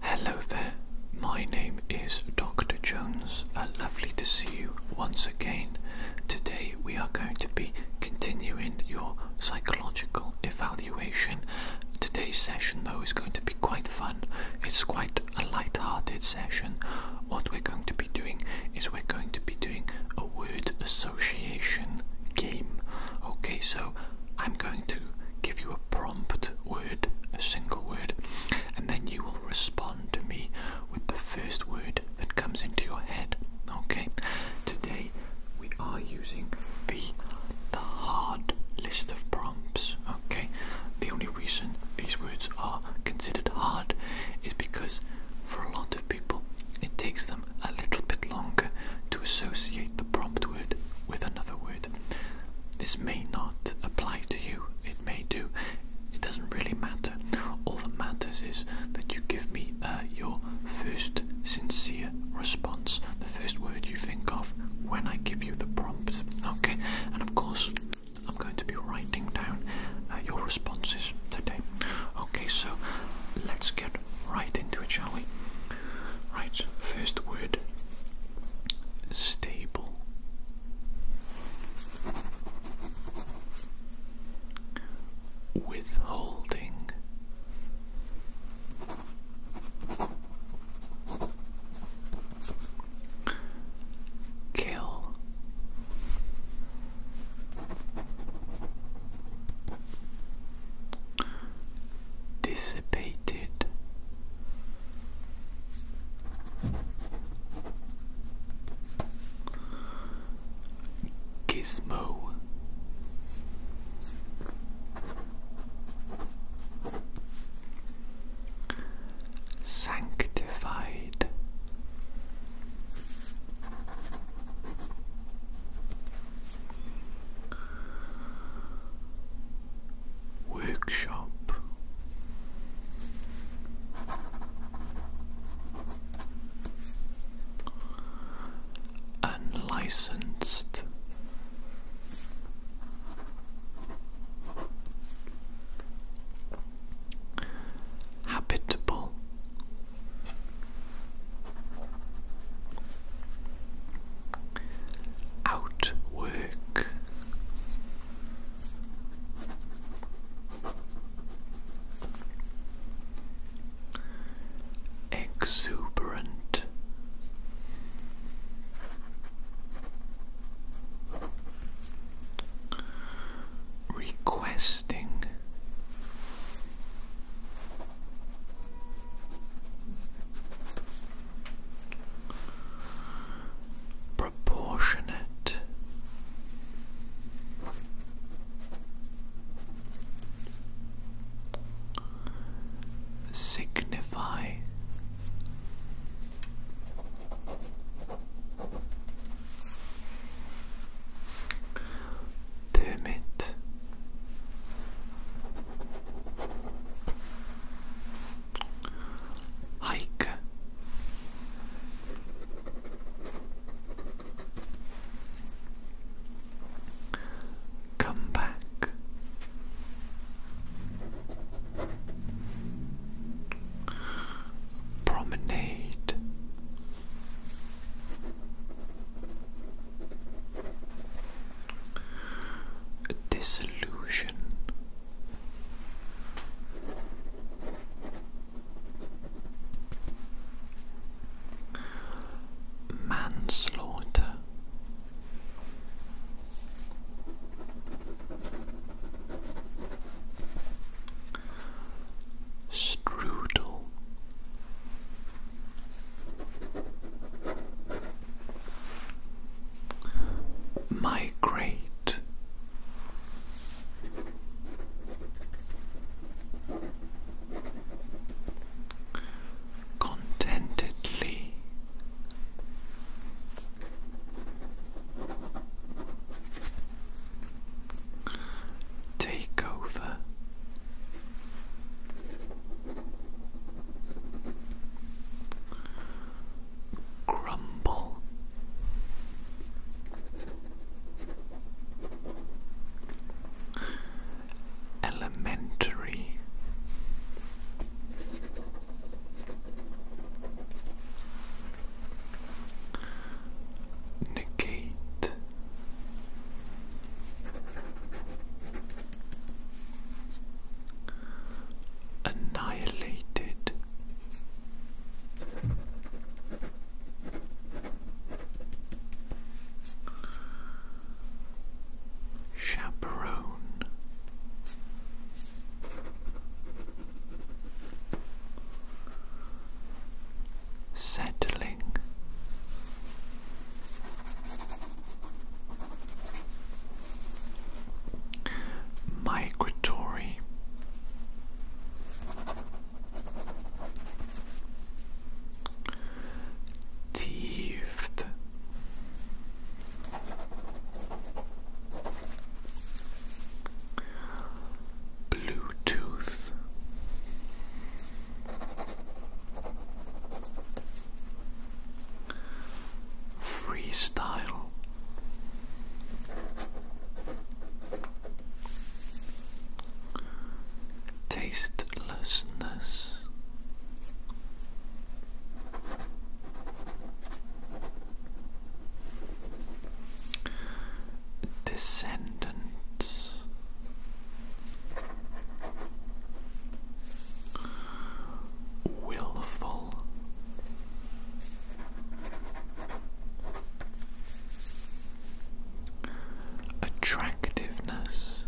Hello there, my name is Dr. Jones. Uh, lovely to see you once again. Today we are going to be continuing your psychological evaluation. Today's session, though, is going to be quite fun. It's quite a light hearted session. What we're going to be doing is we're going to be doing a word association game. Okay, so I'm going to give you prompt word, a single word, and then you will respond to me with the first word that comes into your head. Okay? Today we are using the the hard list of prompts. Okay? The only reason these words are considered hard is because for a lot of people it takes them a little bit longer to associate the prompt word with another word. This may not apply to you, it may do, it doesn't really matter. All that matters is that you give me uh, your first sincere response, the first word you think of when I give you the prompt. Okay, and of course, I'm going to be writing down uh, your responses today. Okay, so let's get right into it, shall we? Right, first word stable. Withholding. Kill dissipated. Gizmo Sanctified Workshop Unlicensed Habitable outwork. Exuberant requesting Proportionate. Signify Permit hike come back promenade Disillusion. Manslaughter. Strudel migrate contentedly take over Grumble. Elementary Negate Annihilated. Chaperone Settling Migratory. Teethed. Bluetooth Freestyle. Tastelessness. Descendants willful attractiveness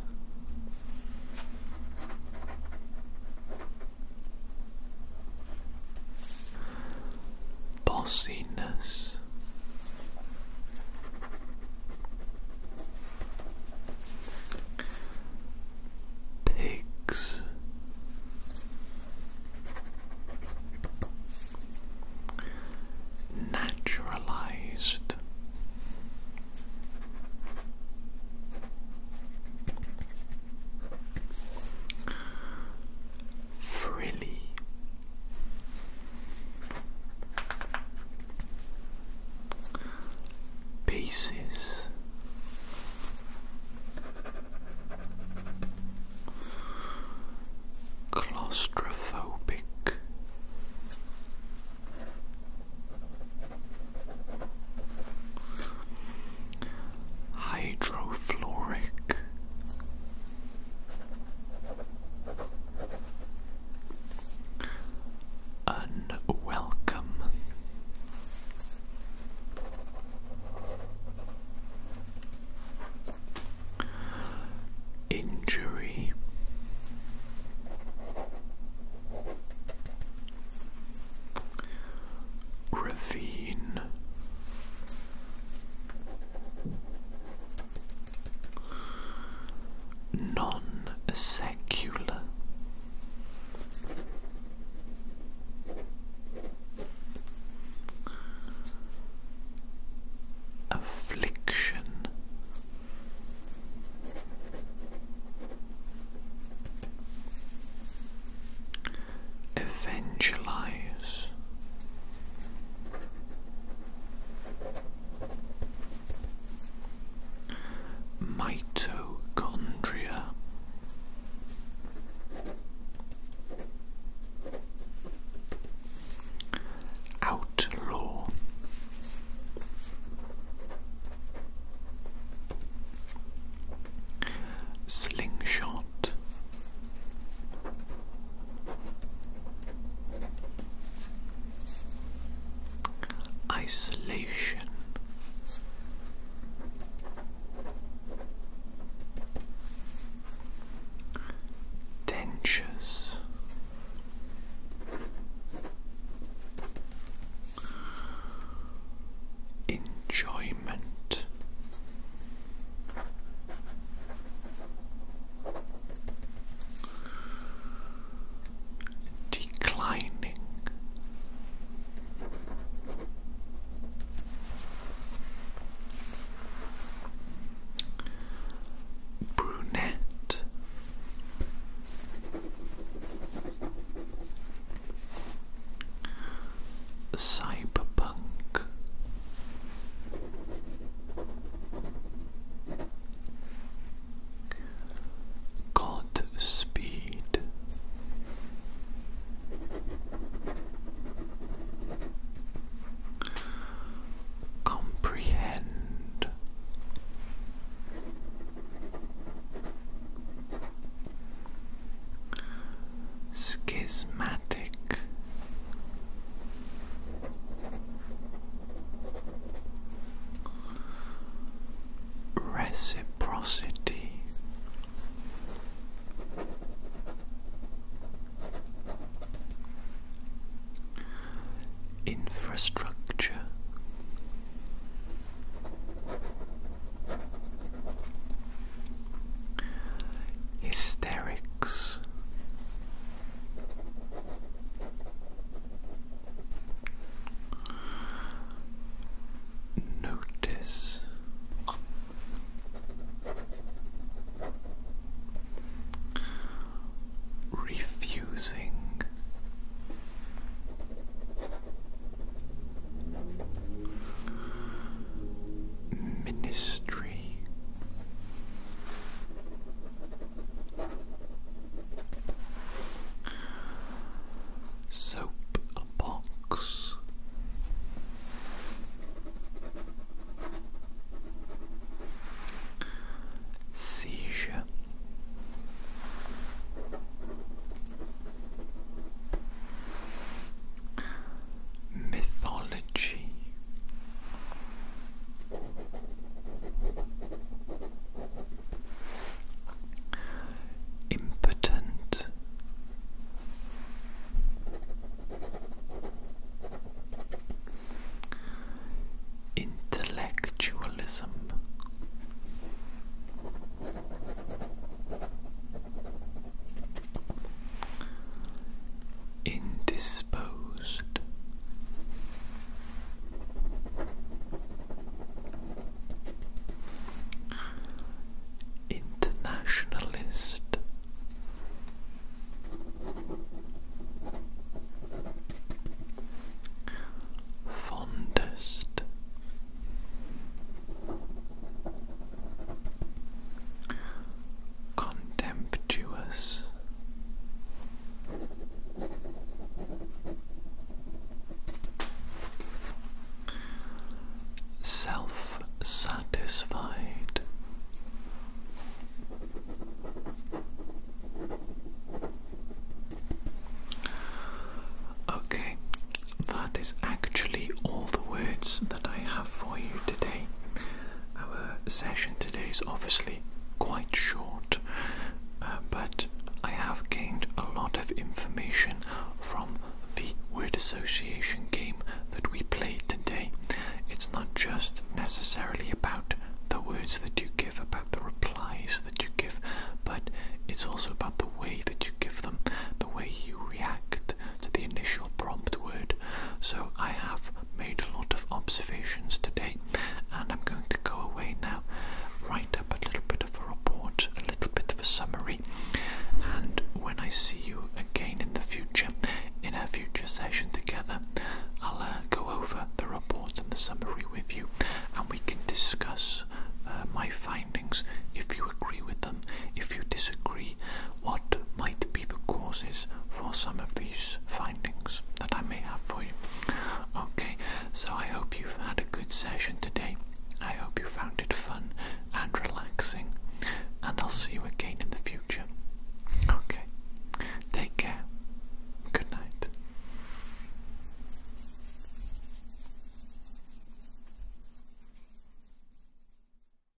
bossiness Pigs. Naturalized. Frilly Pieces. claustrophobic hydrofluoric Unwelcome. Injury. Ravine non secular. Affliction Evangelize Mitochondria. Outlaw. Slingshot. Isolation. Dentures. Enjoyment declining brunette cyberpunk Godspeed. Comprehend. Schismatic Reciprocity. Infrastructure. Hysterics. Notice refusing ministry Soap box. Seizure. Mythology. Impotent. Intellectualism indisposed. Internationalist Fondest contemptuous. Self satisfied, okay, that is actually all the words that I have for you today. Our session today is obviously quite short, uh, but I have gained a lot of information from the word association game that we played today. It's not just necessarily about the words that you give, about the replies that you give, but it's also about the way that you give them, the way you react, to the initial prompt word. So I have made a lot of observations today and I'm going to go away now, write up a little bit of a report, a little bit of a summary, and when I see you again in the future, in a future session together, I'll uh, go over the report and the summary with you and we can discuss uh, my findings if you agree with them, if you disagree, what might be the causes for some of these findings that I may have for you. Okay, so I hope you've had a good session today. I hope you found it fun and relaxing, and I'll see you again in the future. Okay, take care. Good night.